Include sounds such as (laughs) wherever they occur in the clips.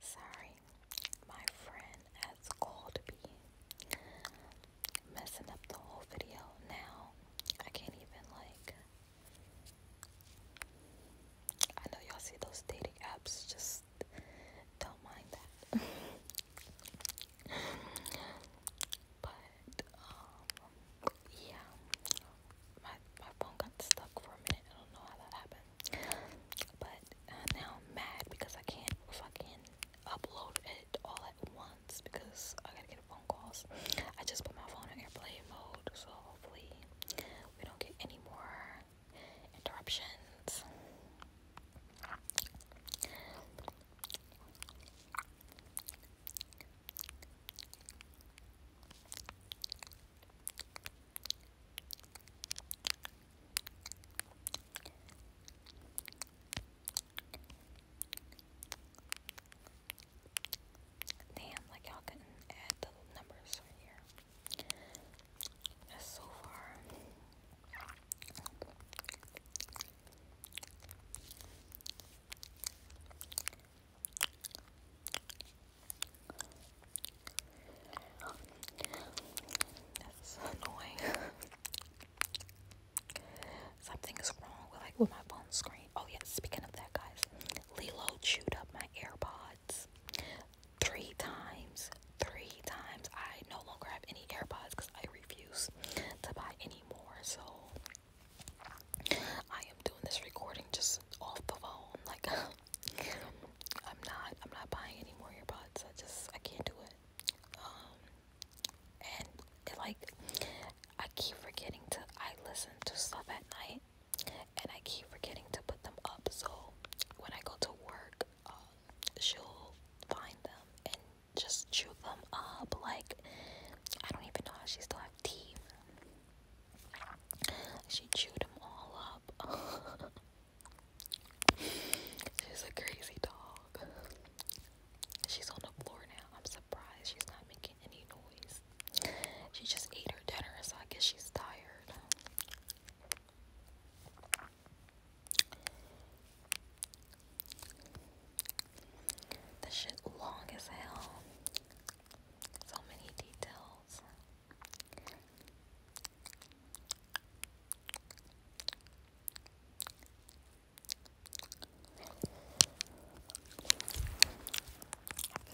Sorry, my friend has called me, messing up the whole video now. I can't even like. I know y'all see those dating apps, just don't mind that. (laughs) but um, yeah, my my phone got stuck for a minute. I don't know how that happened. But now I'm mad because I can't fucking upload it all at once because I gotta get phone calls. I just put my phone in airplane mode, so hopefully we don't get any more interruptions. Damn, like y'all couldn't add the numbers right here. That's so far. That's annoying. (laughs) Something is wrong with like with my phone screen. Oh yeah, speaking of that guys, Lilo chewed up my AirPods three times. Three times. I no longer have any AirPods because I refuse to buy any more. So I am doing this recording just off the phone. Like (laughs) I'm not I'm not buying any more earbuds. I just I can't do it. Um and like I keep forgetting to I listen to stuff at night and I keep forgetting to put them up so when I go to work um, she'll find them and just chew them up like I don't even know how she still have teeth. She chewed them all up. (laughs) She's a crazy dog. She's on the floor now. I'm surprised she's not making any noise. She just ate her dinner, so I guess she's tired. This shit long as hell. So many details. I feel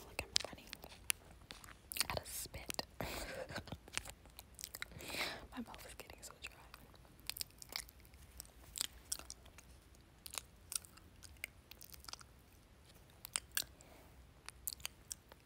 like I'm running out of spit. My mouth is getting so dry.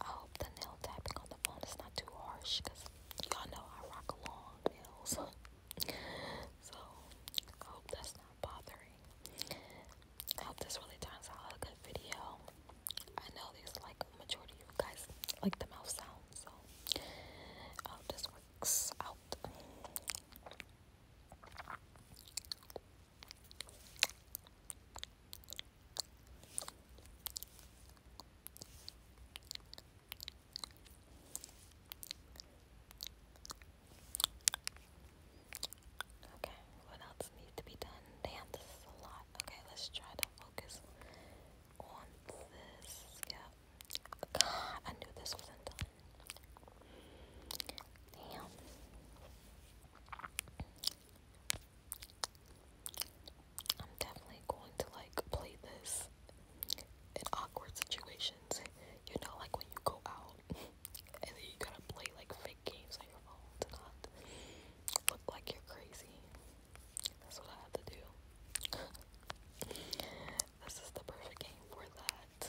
I hope the nail tapping on the phone is not too harsh y'all know I rock long nails. (laughs) so hope that's not bothering I hope this really turns out a good video. I know there's like a majority of you guys like the mouth sound, so I hope this works out. Okay, what else else to be done. Damn, this is a lot. Okay, let's try to focus on this. Yeah. God, I knew this wasn't done. Damn. I'm definitely going to like play this in awkward situations. You know, like when you go out (laughs) and then you gotta play like games on your phone look like you're crazy. That's what I had to do. (laughs) this is the perfect game for that.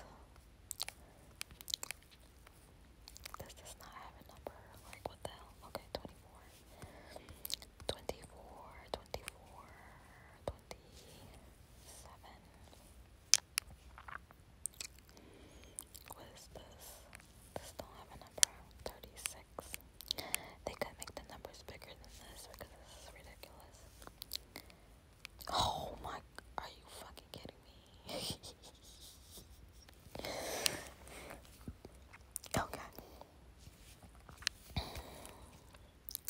This does not have a number. Like, what the hell? Okay, 24. What is this? This have a number. 36. They could make the numbers bigger than this because this is ridiculous. Oh my, are you fucking kidding me? (laughs) okay.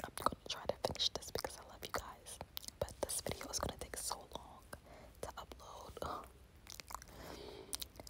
I'm gonna try to finish this because I love you guys. But this video is gonna take so long to upload.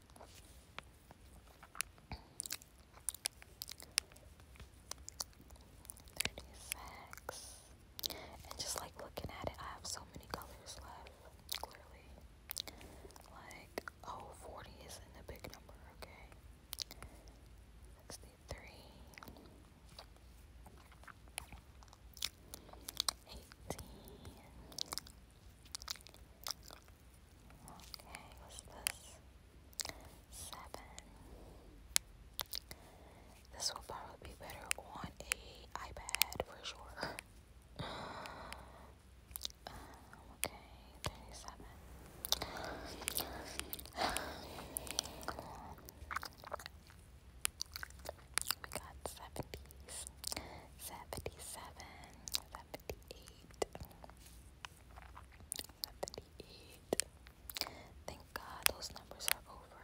36. And just like looking at it, I have so many colors left, clearly. Like, oh, isn't a big number, okay? 63. Okay, what's this? Seven. This will probably be better on a iPad for sure. (sighs) okay, 37. (sighs) We got 70s, 78. Thank God those numbers are over.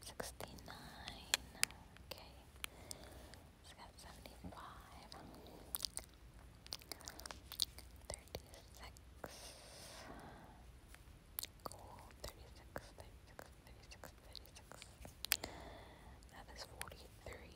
69. Okay. So got 75. 36. Cool. 36, 36, 36, 36. That is 40. 33. (coughs)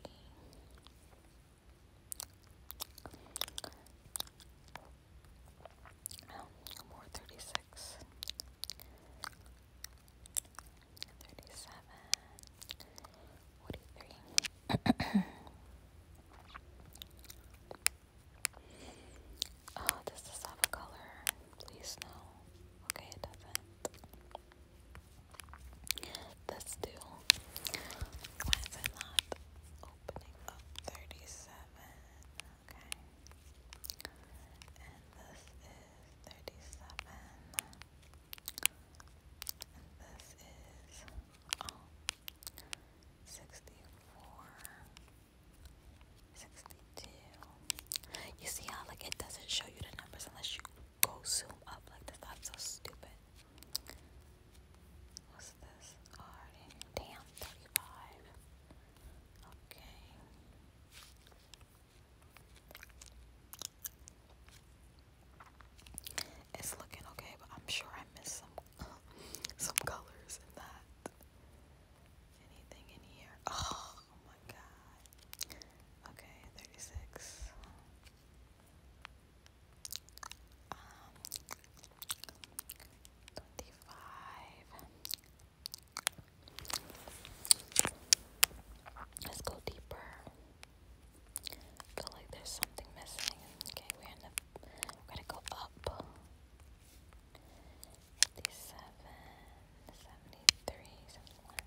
Oh, oh, does this have a color? Please no. Okay, it doesn't. That's two. Why is it not opening up? Thirty-seven. Okay. And this is thirty-seven. And this is oh. You see how like it doesn't show you the numbers unless you go zoom up like this. i so stupid. What's this? Damn, 35. Okay. It's looking okay, but I'm sure I missed some (laughs) some colors in that. Anything in here? oh my god. Okay, 36 um, 25 Let's go deeper. feel like there's something missing. Okay, we're in the we're gonna go up. 57,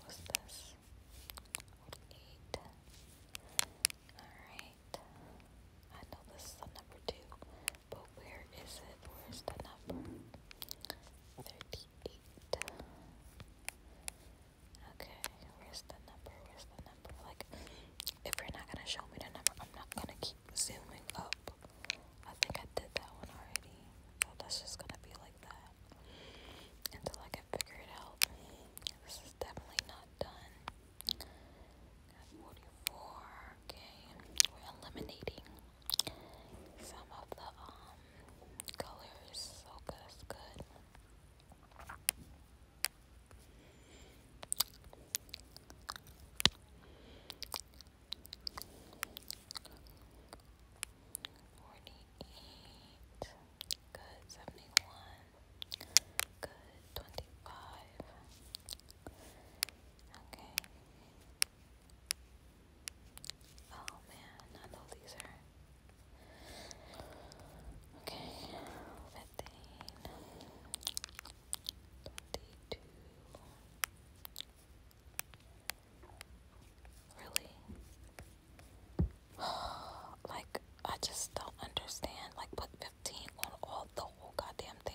what's this? Eight. Alright. I know this is number two, but where is it? Where's the number? Thirty-eight. Okay, where's the number? Where's the number? Like, if you're not gonna show me the number, I'm not gonna keep zooming up. I think I did that one already. So that's just gonna be like that until I can figure it out. This is definitely not done. 44. Okay, we're eliminating some of the um colors. So that's good. Forty-eight. Good. Seventy-one. Good. Twenty-five. Okay. Oh man, I know these are Okay, 15, Really? like, I just don't understand. Like, put 15 on all the whole goddamn thing.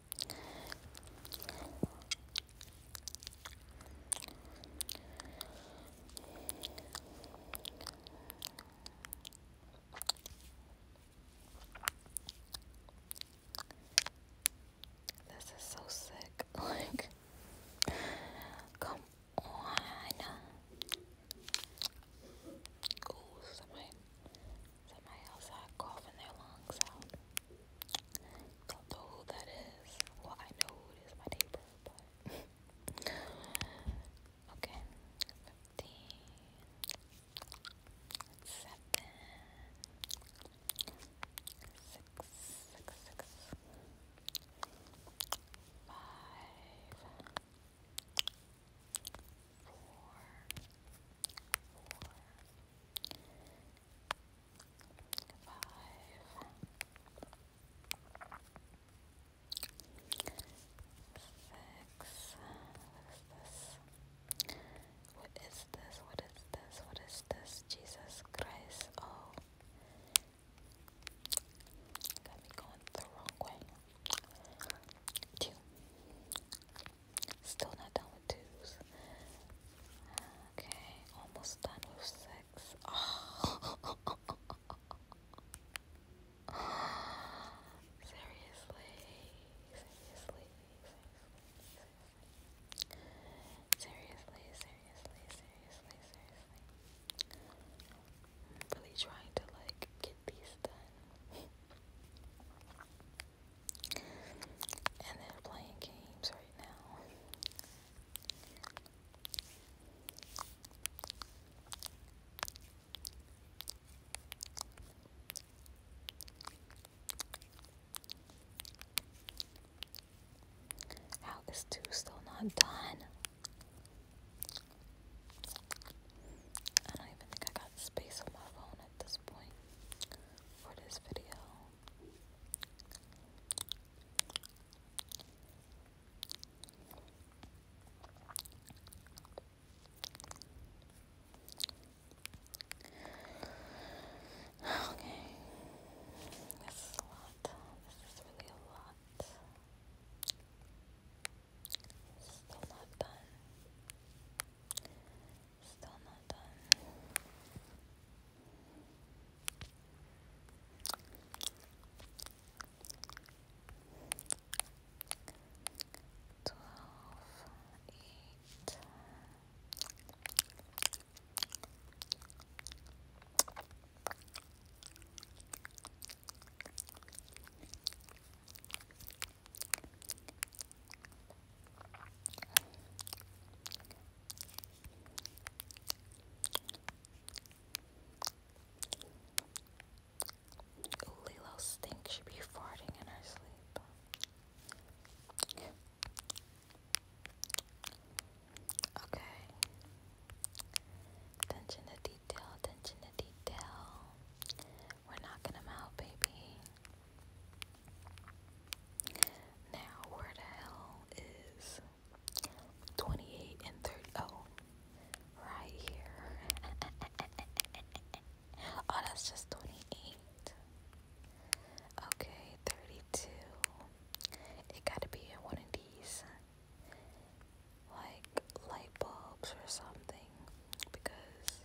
This is so sick. (laughs) Like, come on. somebody, somebody else had coughing their lungs out. Don't know who that is. Well, I know who it is, my neighbor, but okay. Fifteen, seven, six, six, five, six, what is this? What is this? What is this? What is this? Jesus Christ. Oh. Got me going the wrong way. Two. Still not done with twos. Okay, almost done with six. Oh. (laughs) seriously, seriously, seriously, seriously, seriously, seriously, seriously. really trying to like get these done. (laughs) And they're playing games right now. How is two still not done? I don't even think I got space on my phone at this point for this video. Okay. This is a lot. This is really a lot. Still not done. Still not done. Twelve, eight. Lilo Stink should be farting in her sleep. Okay. Attention to detail, attention to detail. We're knocking them out, baby. Now, where the hell is 28 and 30? Oh, right here. (laughs) oh, that's just 28. Okay, 32. It gotta be in one of these, like, light bulbs or something. Because,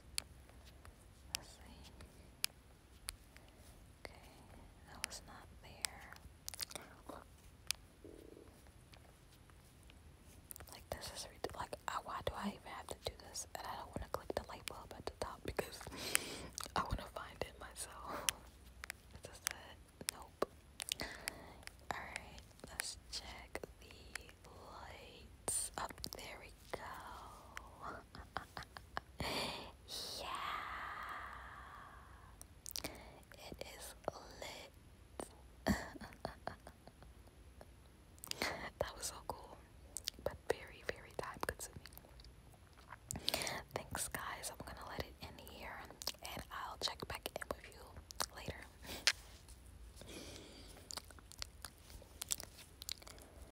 let's see. Okay, that was not there. Look. Like this Like, I, why do I even have to do this? And I don't want to click the light bulb at the top because I want to find it myself. (laughs) Nope. Alright, let's check the lights. Up oh, there we go yeah, it is lit. (laughs) that was so cool, but very, very time consuming. Thanks, guys. I'm gonna let it in here and I'll check back in with you later.